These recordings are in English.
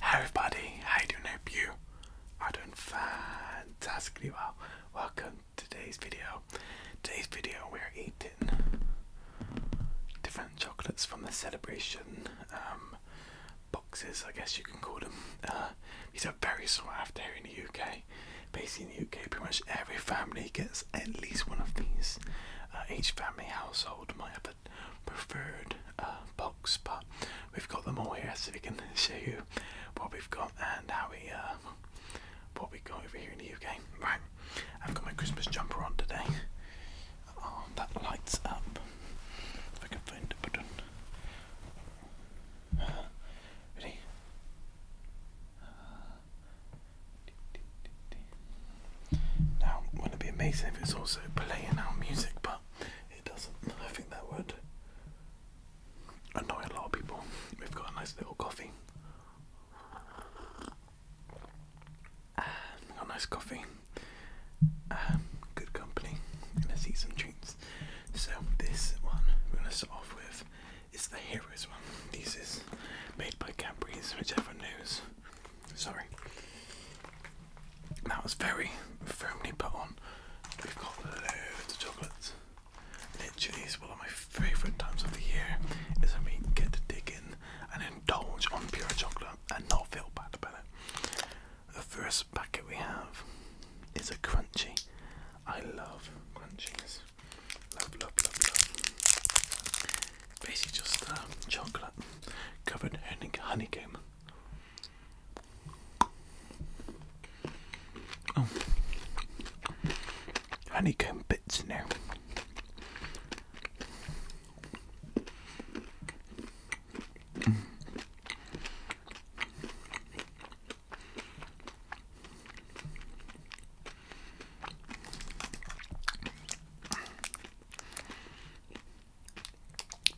Hi everybody, how you doing? I hope you are doing fantastically well. Welcome to today's video. Today's video we're eating different chocolates from the celebration um, boxes, I guess you can call them. Uh, these are very sought after in the UK. Basically in the UK pretty much every family gets at least one of these. Uh, each family household might have preferred uh, box, but we've got them all here, so we can show you what we've got and how we uh, what we got over here in the UK. Right, I've got my Christmas jumper on today. Oh, that lights up. If I can find the button. Uh, ready? Uh, now, wouldn't it be amazing if it's also playing our music, but it doesn't. I think that would annoy a lot of people. We've got a nice little coffee. Um, got nice coffee. Um, good company. And let's some treats. So this one we're gonna start off with is the Heroes one. This is made by Cadbury's, which everyone knows. Sorry. That was very firmly put on. We've got loads of chocolates. Literally, it's one of my favourite times of the year is when we get to dig in and indulge on pure chocolate and not feel bad about it. The first packet we have is a crunchy. I love crunchies. Love, love, love, love. Basically, just uh, chocolate covered honeycomb. Honeycomb oh. bits now.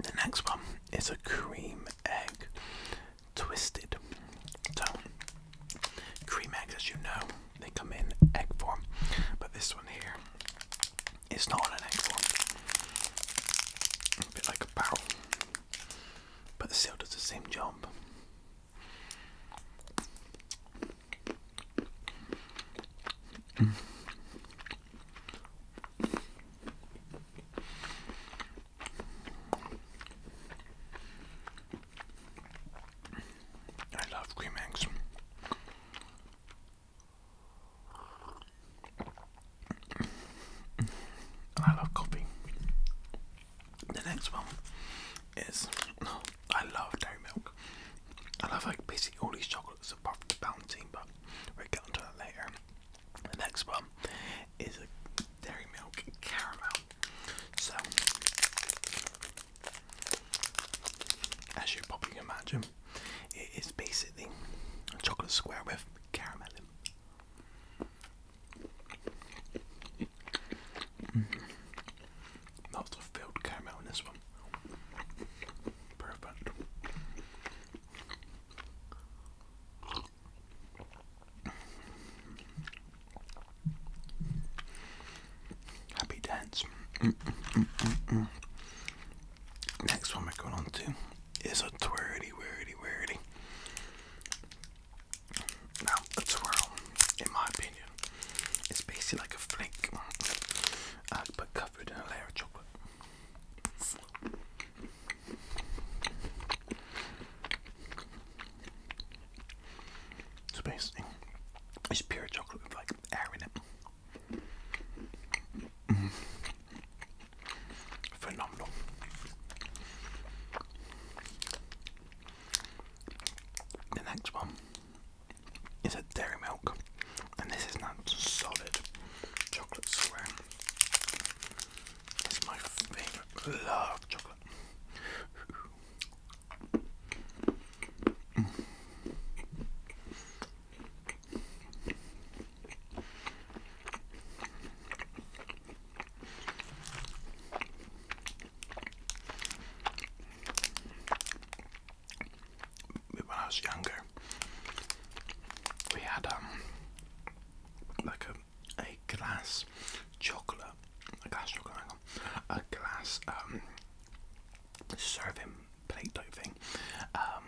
The next one is a cream egg twisted. So, cream eggs, as you know, they come in egg form, but this one here is not an egg form. bit like a but it still does the same job. I love cream eggs. I love coffee. The next one is I love dairy milk. I love like, basically all these chocolates products apart the but we get onto that later. next one is a dairy milk caramel. So, as you probably can imagine, it is basically a chocolate square with caramel in. Mm. Lots of filled caramel in this one. Perfect. Happy dance. Next one we're going on to is a twirly, whirly, whirly. Now, a twirl, in my opinion, is basically like a flake. I put covered in a layer of chocolate. So basically, it's pure chocolate with like air in it. Mm-hmm. Phenomenal. The next one is a dairy milk, and this is not solid chocolate square. It's my favourite. Love chocolate when I was younger, we had um like a a glass chocolate, a glass chocolate, a glass um serving plate type thing, um,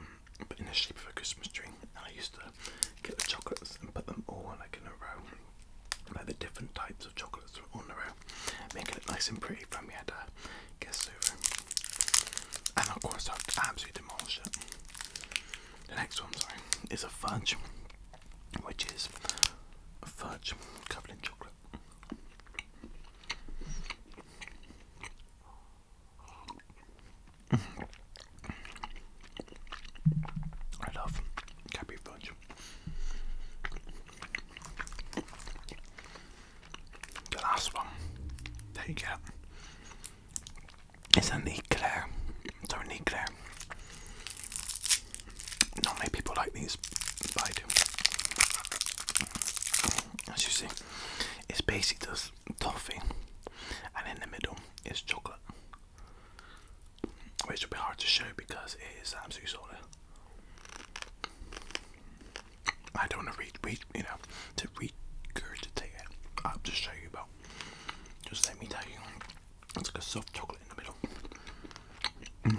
but in the shape of a Christmas tree. And I used to get the chocolates and put them all like in a row, like the different types of chocolates on the row, make it look nice and pretty for me had uh, the guest server. And of course, I've absolutely demolished it. The next one, sorry, is a fudge, which is a fudge covered in chocolate. I love Cadbury fudge. The last one there you get is an eclair. So an eclair. Not many people like these, but I do. As you see, it's basically just toffee, and in the middle is chocolate, which will be hard to show because it is absolutely solid. I don't want to read, read, you know, to regurgitate it. I'll just show you about. Just let me tell you, it's like a soft chocolate in the middle. Mm.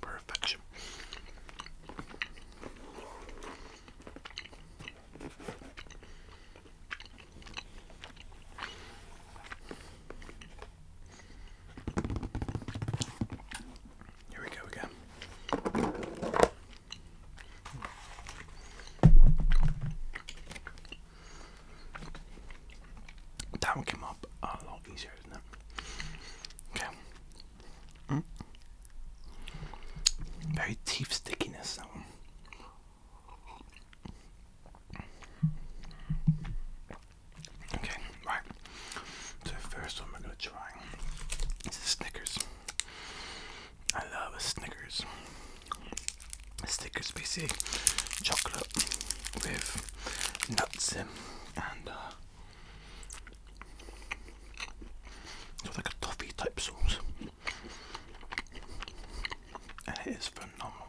Perfection. Here we go again. That one came up a lot easier, isn't Okay. Mm. Very teeth stickiness. That one. Okay, right. So first one we're gonna try is the Snickers. I love a Snickers. A Snickers basically chocolate with nuts in and uh, it's like a toffee type sauce. And it is phenomenal.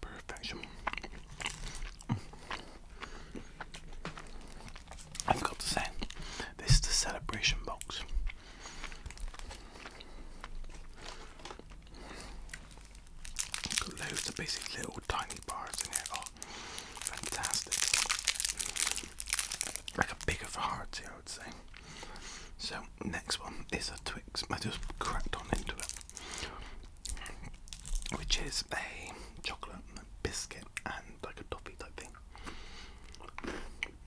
Perfection. Mm. I forgot to say, this is the celebration box. Got loads of basic little tiny bars in here. Oh, fantastic! Like a bigger variety, I would say. So next one is a Twix. I just cracked on into it, which is a chocolate biscuit and like a toffee type thing. Yummy.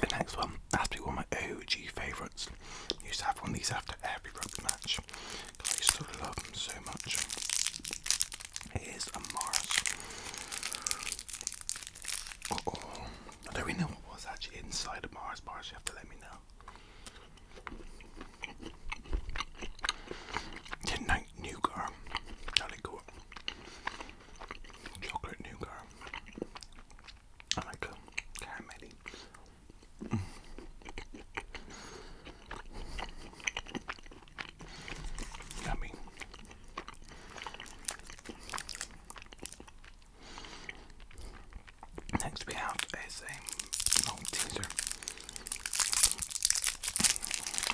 The next one has to be one of my OG favourites. Used to have one of these after every rugby match I used love them so much. It is a do we know what was actually inside the Mars bars? You have to let me know. Midnight nougat. Jolly good. Chocolate nougat. I like a caramelly. Yummy. Next we have is a Malteser.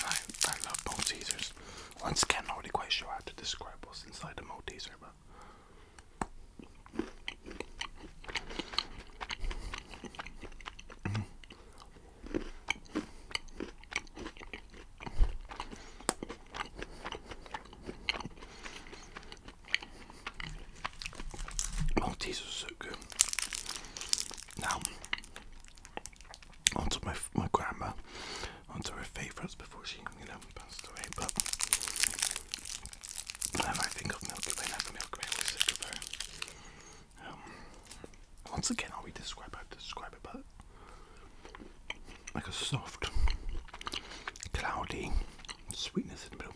I, I love Maltesers. Once again, I'm not really quite sure how to describe what's inside the Malteser, but. Maltesers oh, are so good. Now, onto my my grandma, onto her favourites before she, you know, passed away. But whenever I think of Milky I think Milky Way always sick once again, how we describe how describe it, but like a soft, cloudy sweetness in the middle.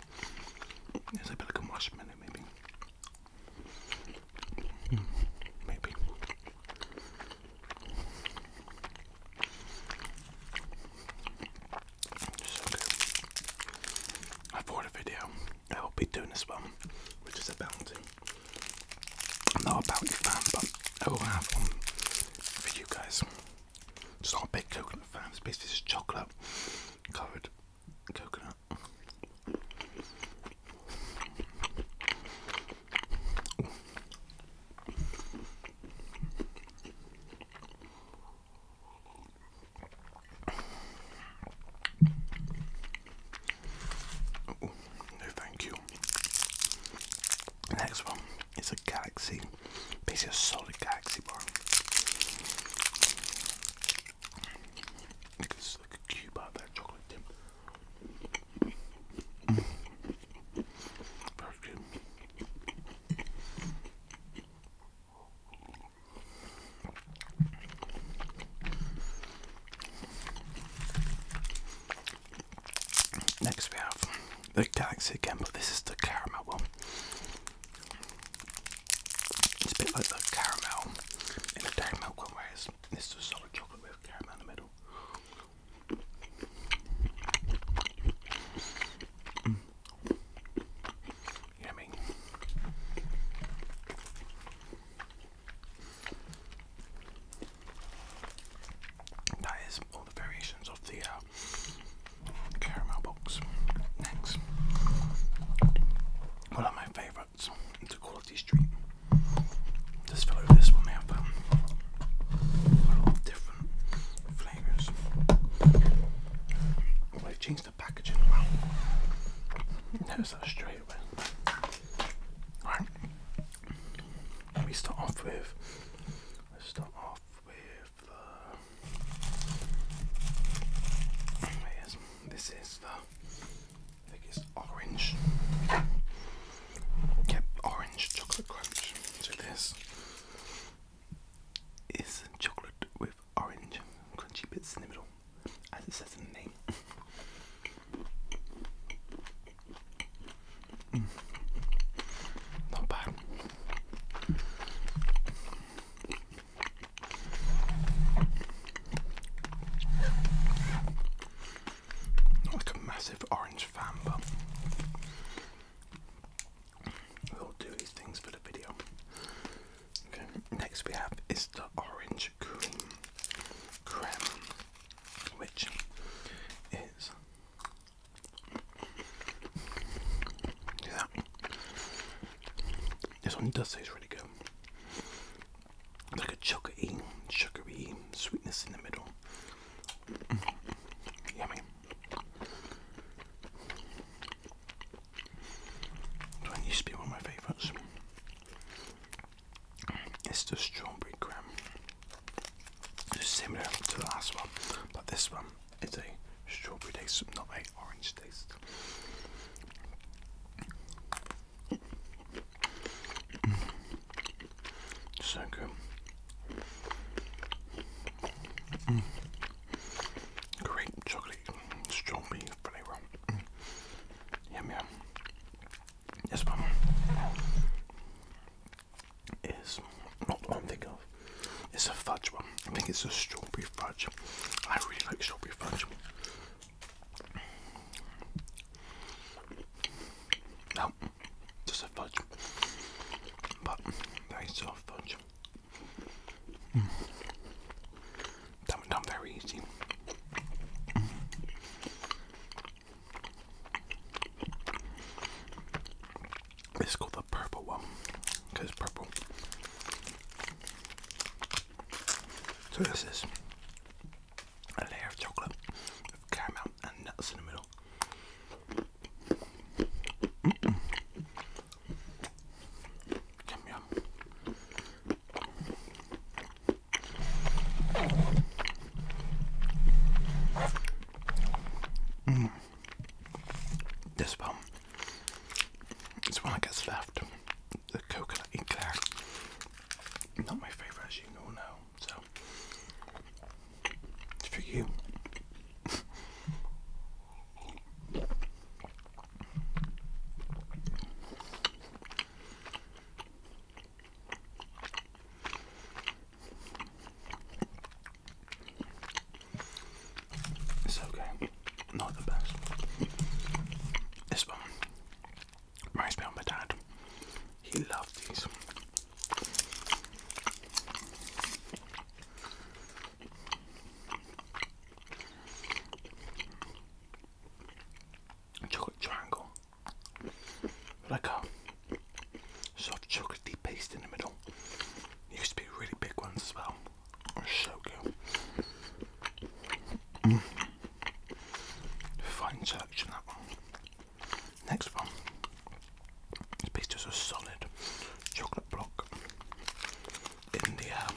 a bit like a marshmallow, maybe. Hmm, maybe. So good. I a video I will be doing this one, which is a bounty. I'm not about bounty fan, but I will have one for you guys. It's not a big coconut fan, it's basically just chocolate covered coconut. Oh, no thank you. next one is a galaxy, basically a solid galaxy bar. It's like a cube out there, chocolate Next we have the Galaxy again, but this is the caramel one. It's a bit like the caramel in the dairy milk one, whereas this is solid chocolate with caramel in the middle. Yummy. That is all the variations of the uh, caramel box. Next, one of my favourites is the Quality Street. Just follow this one, they have um, a lot of different flavours. they changed the packaging. Wow, notice that straight away. Right. Let me start off with. start off with uh, this is the. I orange. Yep, orange chocolate crunch. So this is chocolate with orange crunchy bits in the middle as it says in the name. mm. Not bad. Not like a massive orange fan, but we'll do these things for the video. Okay, next we have is the orange cream creme, which is yeah. This one does taste really good. It's like a chocolatey, sugary sweetness in the middle. Mm. Yummy. used to be one of my favourites. It's the strawberry cream. It's similar to the last one, but this one is a strawberry taste, not a orange taste. So good. Mm. chocolate strawberry flavour. Yum yum. This one is not one thing of. It's a fudge one. I think it's a strawberry fudge. I really like strawberry fudge. No, just a fudge. But very soft fudge. Hmm. Dumb and dumb very easy. Let's the purple one because purple. So this is a layer of chocolate caramel and nuts in the middle. Yum yum. This one. It's one I guess left. The coconut eclair. Not my favourite as you all know, so it's for you. It's okay, not the best. This one reminds me of my dad. He loved these chocolate triangle like a soft chocolatey paste in the middle. used to be really big ones as well. so good. Mm. Fine selection Next one. This piece is a solid chocolate block in the um,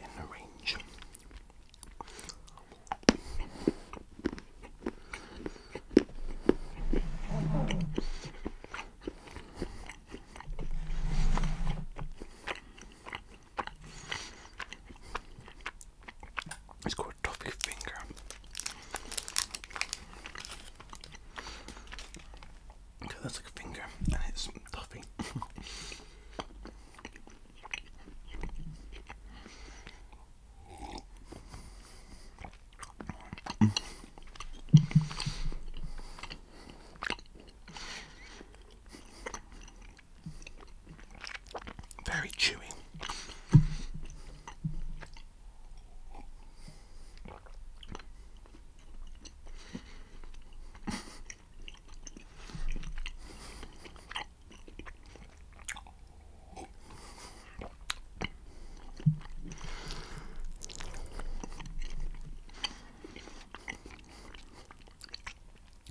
in the range. It's called toffee finger that's like a finger, and it's fluffy. Very chewy.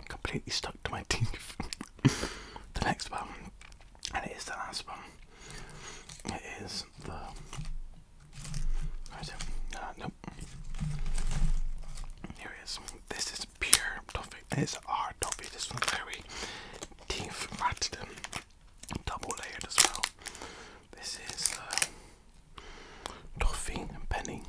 Completely stuck to my teeth. the next one, and it is the last one. It is the Alright, so, uh, nope. Here it is. This is pure toffee. It's our toffee. This one's very teeth matted and um, double layered as well. This is uh, toffee and penny.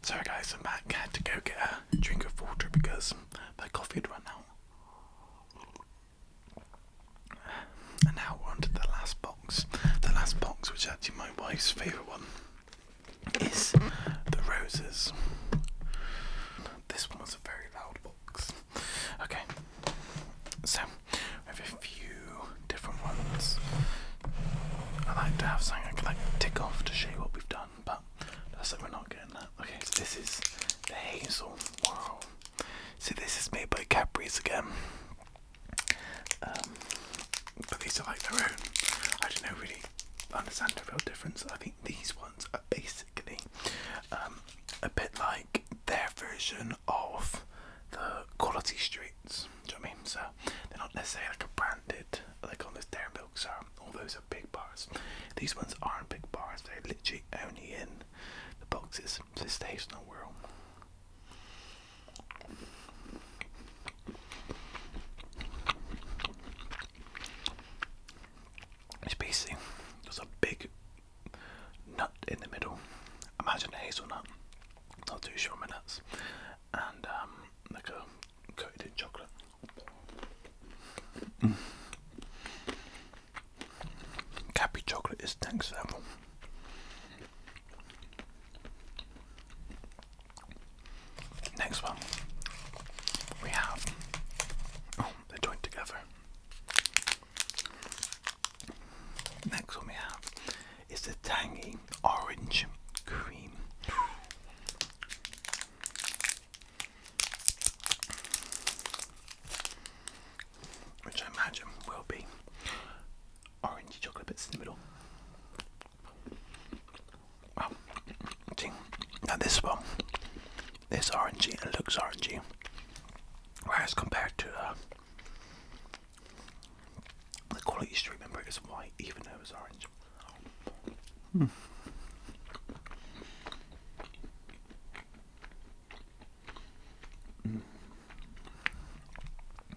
Sorry, guys, I'm back. I had to go get a drink of water because my coffee had run out. And now we're on the last bowl. The last box, which is actually my wife's favourite one, is the roses. This one was a very loud box. Okay, so I have a few different ones. I like to have something I can like tick off to show you what we've done, but that's like we're not getting that. Okay, so this is the hazel. Wow. See, this is made by Capri's again. Um, but these are like their own. I don't know really understand the real difference. I think these ones are basically um, a bit like their version of the quality streets. Do you know what I mean? So they're not necessarily like a branded like on this Dairy Milks are. All those are big bars. These ones aren't big bars. They're literally only in the boxes. So it stays in a whirl. It's there's a big nut in the middle. Imagine a hazelnut, not too short my nuts, and um, like a coated in chocolate. Mm. chocolate is next level. Next one, we have. Oh, they joined together. Next one we have is the tangy orange cream which I imagine will be orangey chocolate bits in the middle. Wow. Now this one, this orangey, it looks orangey, whereas compared to uh, the quality street, remember it was white even though it was orange. Hmm.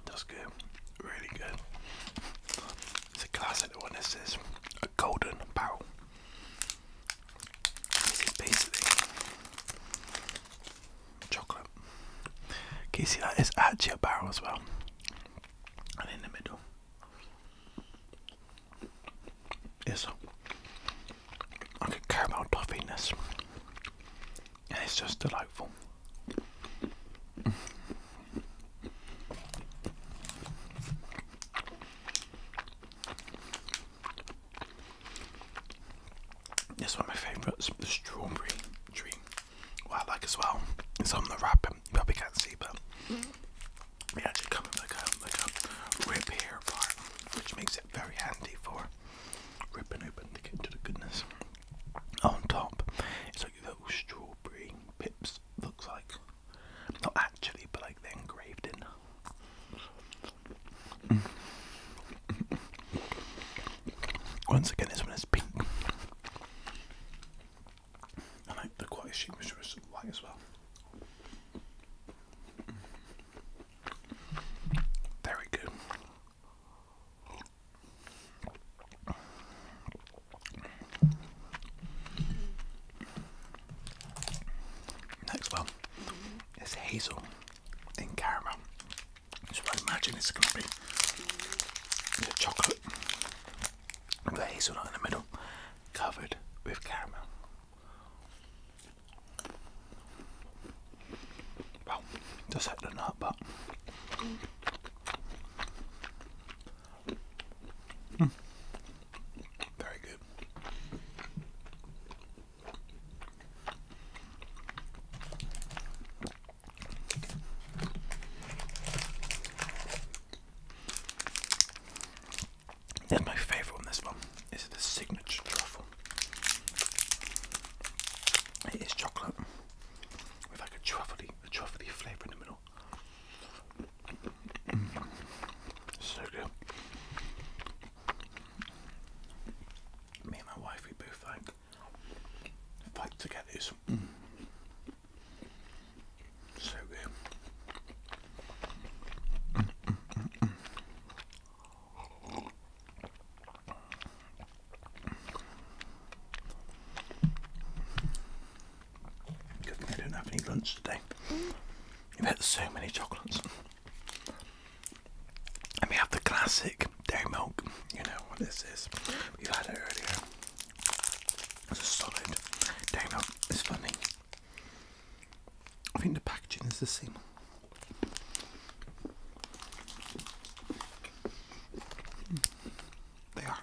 That's good, really good. It's a classic one. This is a golden barrel. This is basically chocolate. Can you see that? It's actually a barrel as well, and in the middle is like a caramel toffiness and it's just delightful. This one of my favourites, the strawberry tree. I like as well It's on the wrap, you probably can't see, but they actually come with like a, like a here part, which makes it very handy for ripping open to get to the goodness. On top, it's like little strawberry pips, looks like. Not actually, but like they're engraved in. Once again, this one is pink. And like the quite sheep was white as well. Very good. Next one is hazel in caramel. So I imagine it's going to be the chocolate hazel in the middle covered with caramel. Well, just had a nut, but. Hmm. Very good. Then my favourite on this one is the signature truffle. It is chocolate with like a truffly, a truffly flavour in the middle. Mm. So good. Me and my wife, we both like fight to get this. Mm. So good. Mm, Good I don't have any lunch today. You've had so many chocolates. And we have the classic dairy milk. You know what this is. we had it earlier. It's a solid dairy milk. It's funny. I think the packaging is the same. Hmm. They are.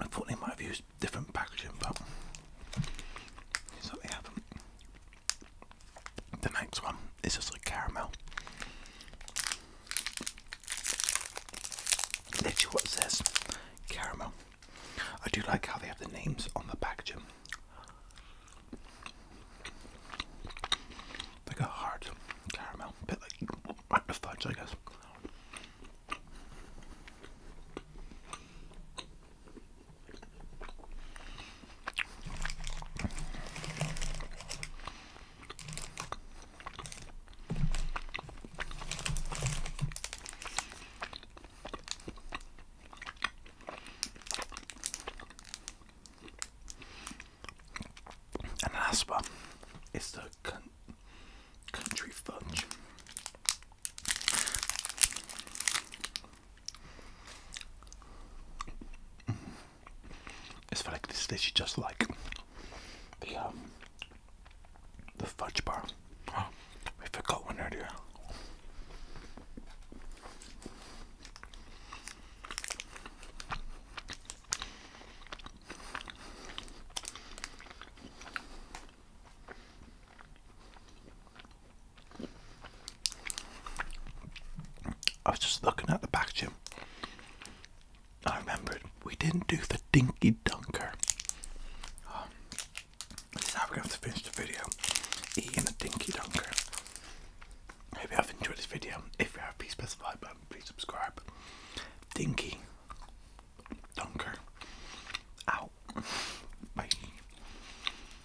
I thought they might have used different packaging, but it's like they have the next one is just like caramel. Literally what it says, caramel. I do like how they have the names on the packaging. Like a hard caramel, bit like the fudge I guess. And last one is the country fudge. It's like this dish is just like the uh, the fudge bar. Oh, we forgot one earlier. I was just looking at the back gym. I remember it. we didn't do the Dinky Dunker. Um, now we're going to have to finish the video eating a Dinky Dunker. hope you have enjoyed this video. If you have, please press the like button, please subscribe. Dinky Dunker. Ow. Bye.